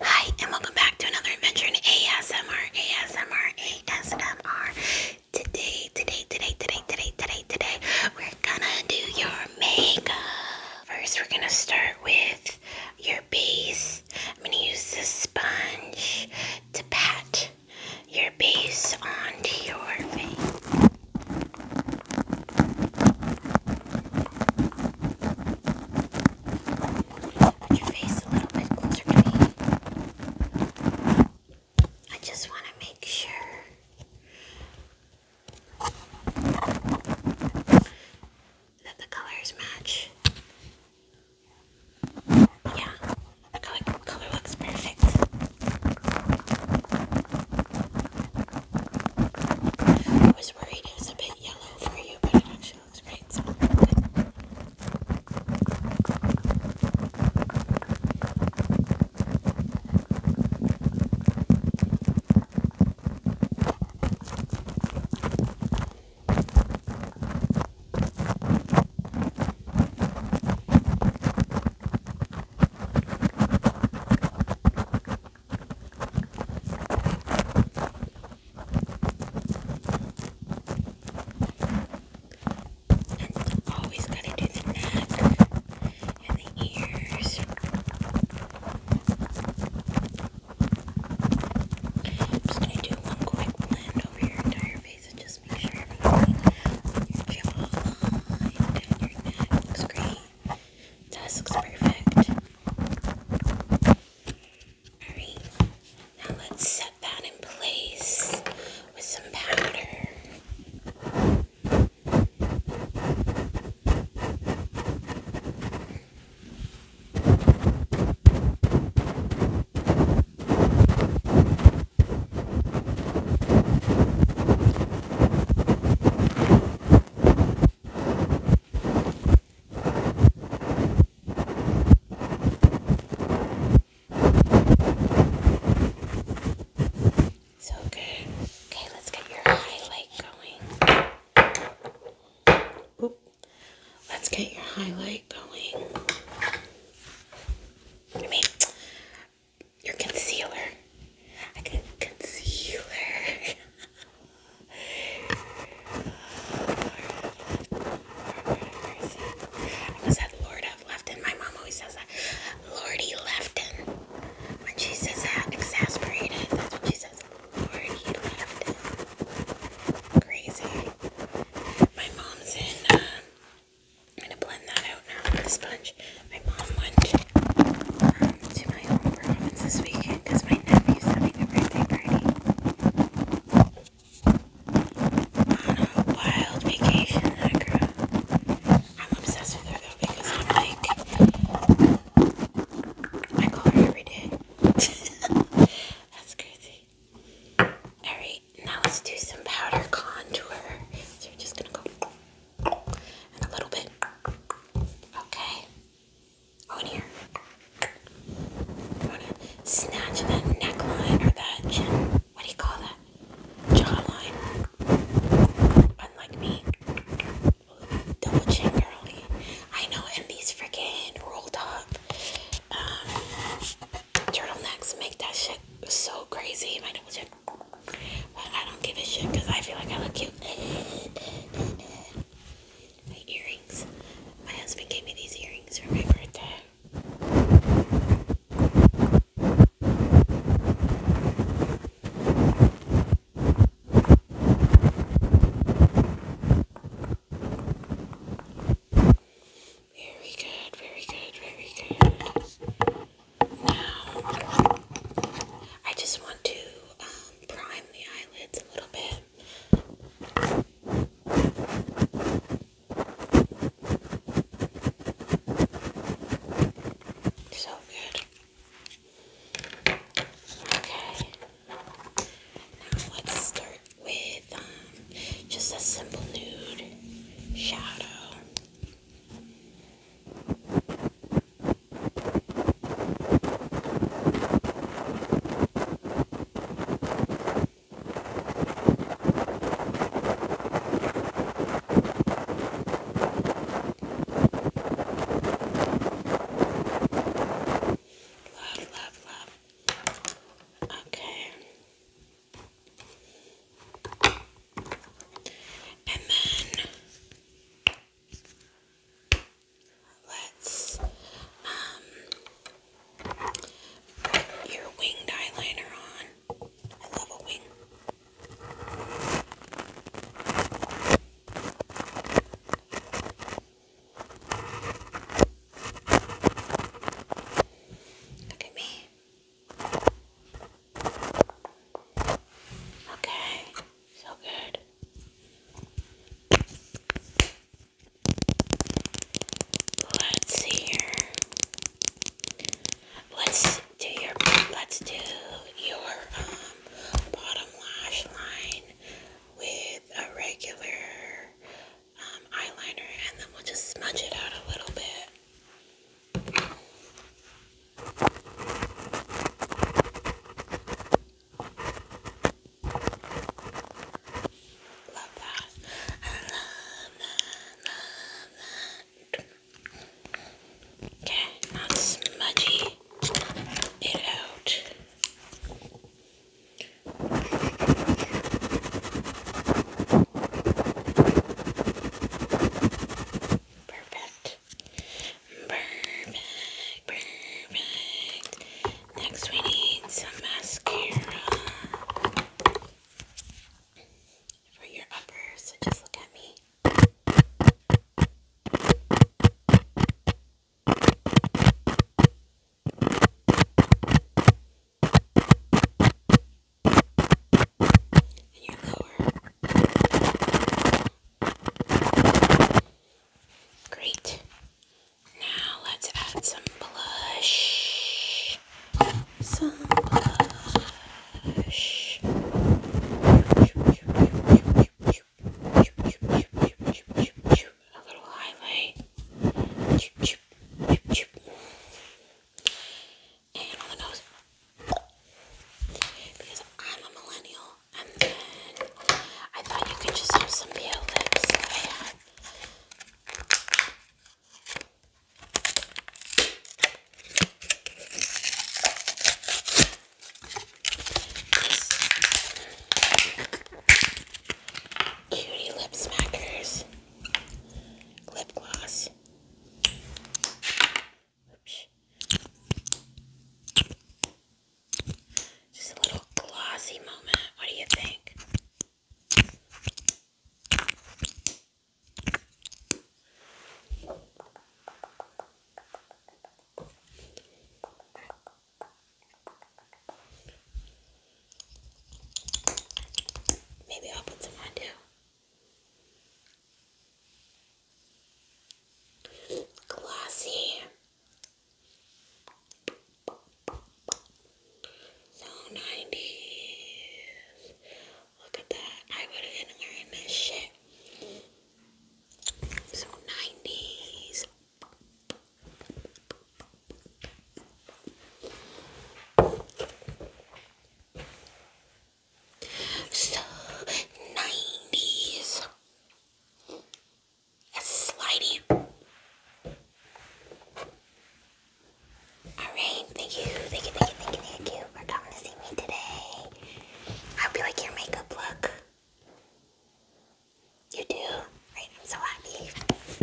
Hi, and welcome back to another adventure in ASMR, ASMR, ASMR. Today, today, today, today, today, today, today, we're gonna do your makeup. First, we're gonna start with your base. I'm gonna use this sponge to pat your base onto your face. I just want to make sure that the colors match. Yeah, the color, color looks perfect. I was worried it was a bit that yellow for you, but it actually looks great. So. Okay. And always gotta do the neck and the ears. just gonna do one quick blend over your entire face and just make sure everything your jawline your neck looks great. This looks perfect. Alright, now let's set that in place with some powder. So good. Okay, let's get your highlight going. Oop. Let's get your highlight going. I mean, your concealer. I can conceal her. I said Lord My mom always says that. Lordy Lefton. When she says that, exasperated, that's what she says. Lordy Lefton. Crazy. My mom's in, um, I'm gonna blend that out now with the sponge. My mom went um, to my home province this weekend because my nephew's having a birthday party. On a wild vacation, Acra. I'm obsessed with her though because I'm like, I call her every day. That's crazy. Alright, now let's do some powder contour. So we're just gonna go and a little bit. Okay. Go here. i to snatch that neckline or that chin. What do you call that? Jawline. Unlike me. Double chin girly. I know, and these freaking rolled up um, turtlenecks make that shit so crazy. My double chin. I don't give a shit because I feel like I look cute. my earrings. My husband gave me these earrings for my birthday. Very good, very good, very good. Now, I just want to um, prime the eyelids a little bit. So good. Okay. Now let's start with um, just a simple nude shadow. Love, love, love. Okay. And then let's um put your winged eyeliner on. I love a wing. Look me. Okay, so good. Let's see here. Let's do your let's do your um, bottom lash line with a regular um, eyeliner, and then we'll just smudge it out a little bit. Love that. I love that. Okay, now smudgy it out. Perfect. Perfect. Perfect. Next, we need some mascara for your upper. So just look at me and your lower. Great. Now let's add some blush. Some blush. A little highlight. Because I'm a millennial, and then I thought you could just have some pale lip smackers lip gloss. Just a little glossy moment. What do you think? Maybe I'll put some on too. Glossy. So 90s. Look at that. I would have been wearing this shit. So 90s. So, 90s. That's slidey. Alright, thank you, thank you, thank you, thank you, thank you for coming to see me today. I hope you like your makeup look. You do? Right, I'm so happy.